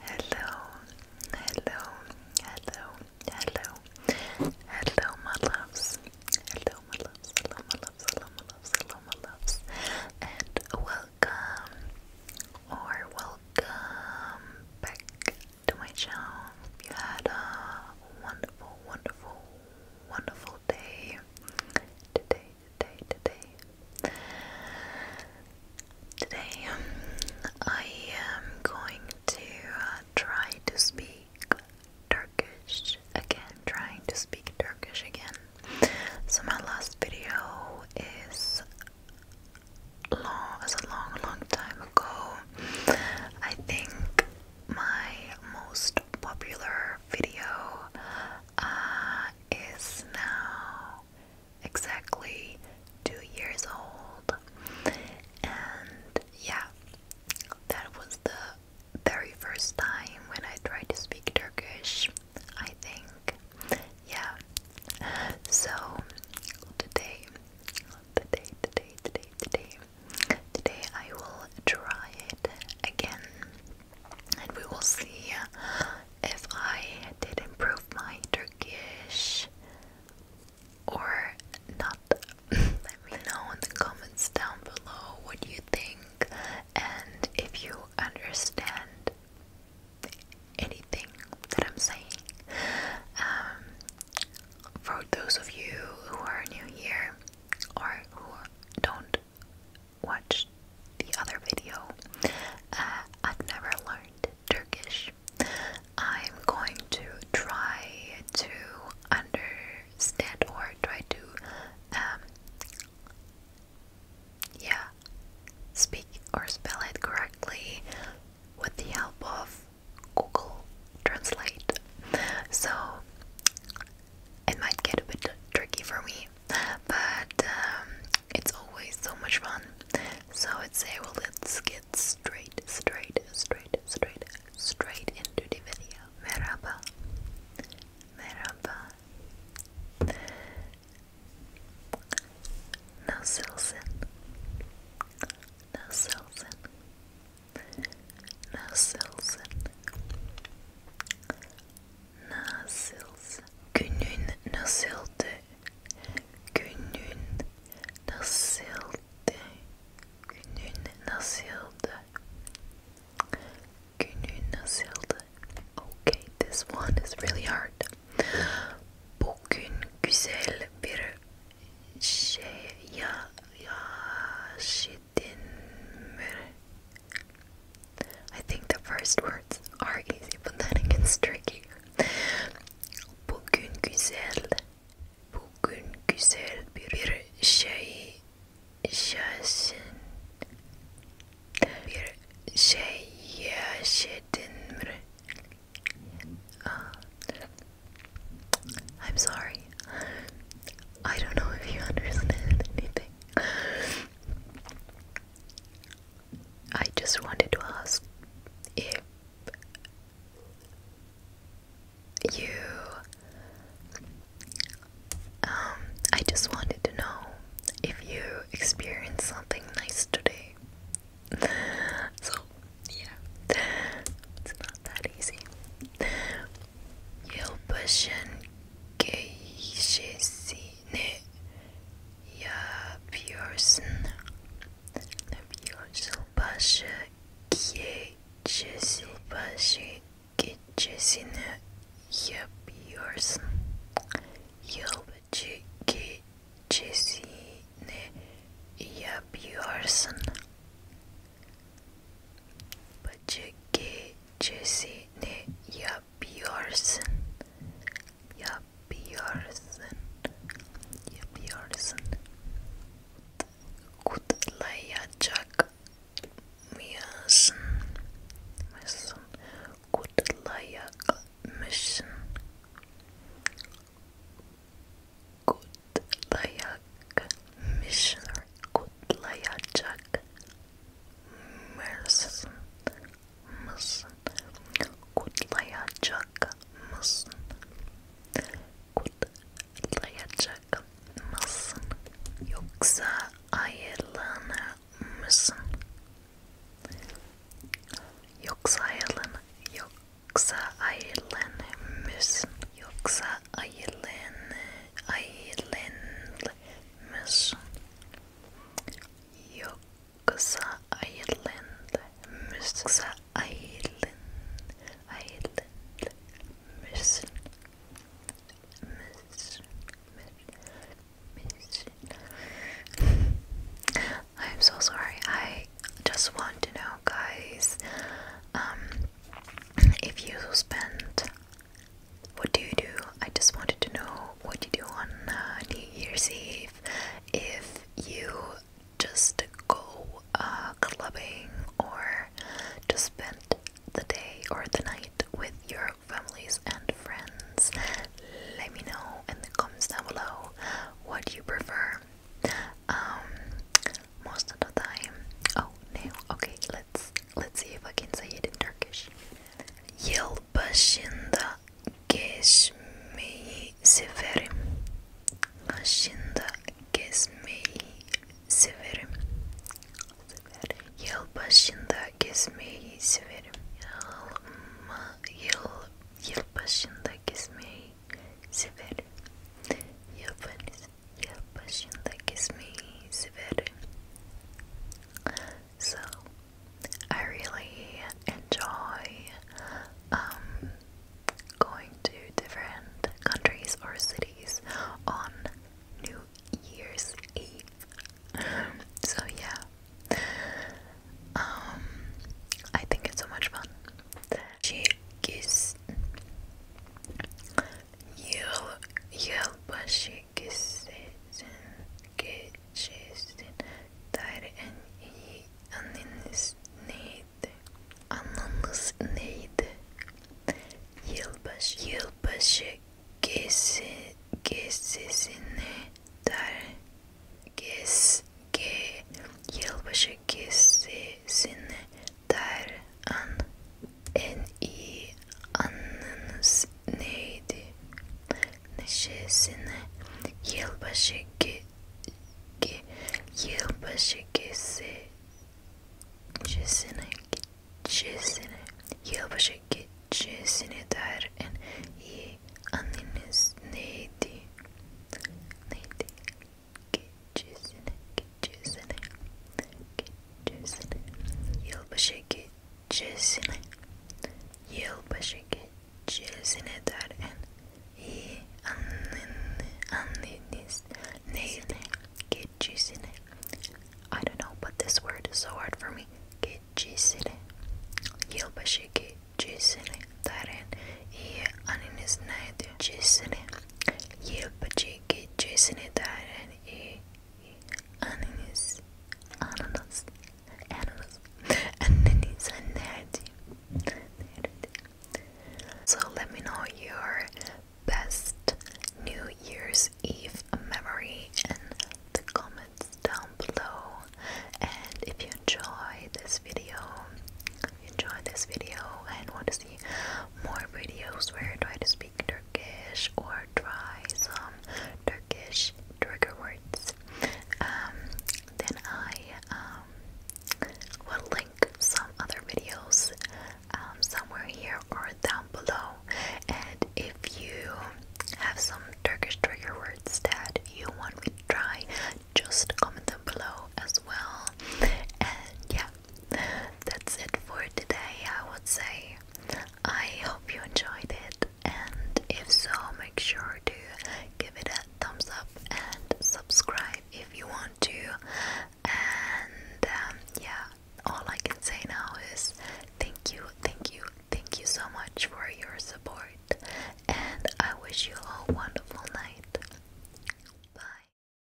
Hello, hello, hello, hello, hello, my loves. Hello, my loves, hello, my loves, hello, my loves, hello, my loves, and welcome or welcome back to my channel. You had a wonderful, wonderful, wonderful day. Today today, today. Today um, I am going to uh, try to speak Turkish again, trying to speak Turkish again. So my last video is long, as a long, long time ago. I think my most popular video uh, is now exactly two years old. And yeah, that was the very first time when I tried to speak Turkish, I think. Yeah. So today, today, today, today, today, today I will try it again and we will see if I did improve my Turkish or not. Let me know in the comments down below what you think and if you understand anything that I'm saying. Um, for those of you who are new here or who don't watch the other video, uh, I've never learned Turkish. I'm going to try to understand or try to, um, yeah, speak or spell it correctly with the help of Google Translate. So it might get a bit tricky for me, but um, it's always so much fun. So I'd say, well, let's get straight, straight, straight, straight, straight into the video. Merhaba, merhaba. Nasılsın? Nasılsın? Nasılsın? Nasılsın? Günün nasıldı? Günün nasıldı? Günün nasıldı? Günün nasıldı? Okay, this one is really hard. Bugün güzel bir şey ya yaşadın mı? I think the first words are easy, but then it gets tricky. Bugün güzel, bugün güzel bir şey bir şey yaşadın mı? Ah. I'm sorry. I don't know if you understand anything. I just wanted to ask if you um I just wanted to know if you experienced something nice today. so yeah. It's not that easy. Yıl başın geyişesi ne yapıyorsun? Ne yapıyorsun? Başı gecesi, başı gecesini yapıyorsun. Yılbaşı gecesini yapıyorsun. Bacı gecesini yap. yapıyorsun yapıyorsun yapıyorsun kutlayacak mısın mısın kutlayak mısın kutlayak mısın kutlayacak mısın, mısın, kutlayacak mısın, kutlayacak mısın, yoksa ayrılanır mısın, yoksa ayrılanır, yoksa ayrılanır mısın, yoksa ayrılanır, ayrılanır, Miss, Yoksa ayrıldı mısın? I'm so sorry. I just want to know, guys, um, if you spent what do you do? I just wanted to know what you do on uh, New Year's Eve. If you just go uh, clubbing or just spend the day or the night with your families and friends, let me know in the comments down below what you prefer. Um, most of the time. Oh, no. Okay, let's Let's see if I can say it in Turkish. Yıl başında gezmeyi severim. Başında gezmeyi severim. Yıl başında gezmeyi severim. Yılma, yıl, yıl başında gezmeyi severim. Yıl başında Yep, başında kesmeyi severim. So, I really enjoy um, going to different countries or cities on New Year's Eve. So yeah, um, I think it's so much fun. She gives yılbaşı gecesinden en iyi anınız neydi? Anınız neydi? Yılbaşı, yılbaşı gezi, gezisine dair gez, ge, yılbaşı gezisine der an en iyi anınız neydi? Neşesine yılbaşı ge, ge, yılbaşı gecesine gecesine yılbaşı gecesine der en iyi anınız neydi? Neydi? Ge, Gecesine, gecesine, gecesine Yılbaşı gecesine, yılbaşı gecesine der en iyi anladınız neydi? Gecesine I don't know but this word is so hard for me Gecesine, yılbaşı gecesine der en iyi anınız neydi? Gecesine, yılbaşı gecesine der en so let me know your best New Year's Eve memory in the comments down below and if you enjoy this video if you enjoy this video and want to see more videos where I try to speak Turkish or try some Turkish trigger words. Um, then I um, will link some other videos um, somewhere here or down below. And if you have some Turkish trigger words that you want me to try, just comment them below as well. And yeah, that's it for today, I would say. I hope you enjoyed it, and if so, make sure to give it a thumbs up and subscribe if you want to. And um, yeah, all I can say now is thank you, thank you, thank you so much for your support, and I wish you all a wonderful night. Bye.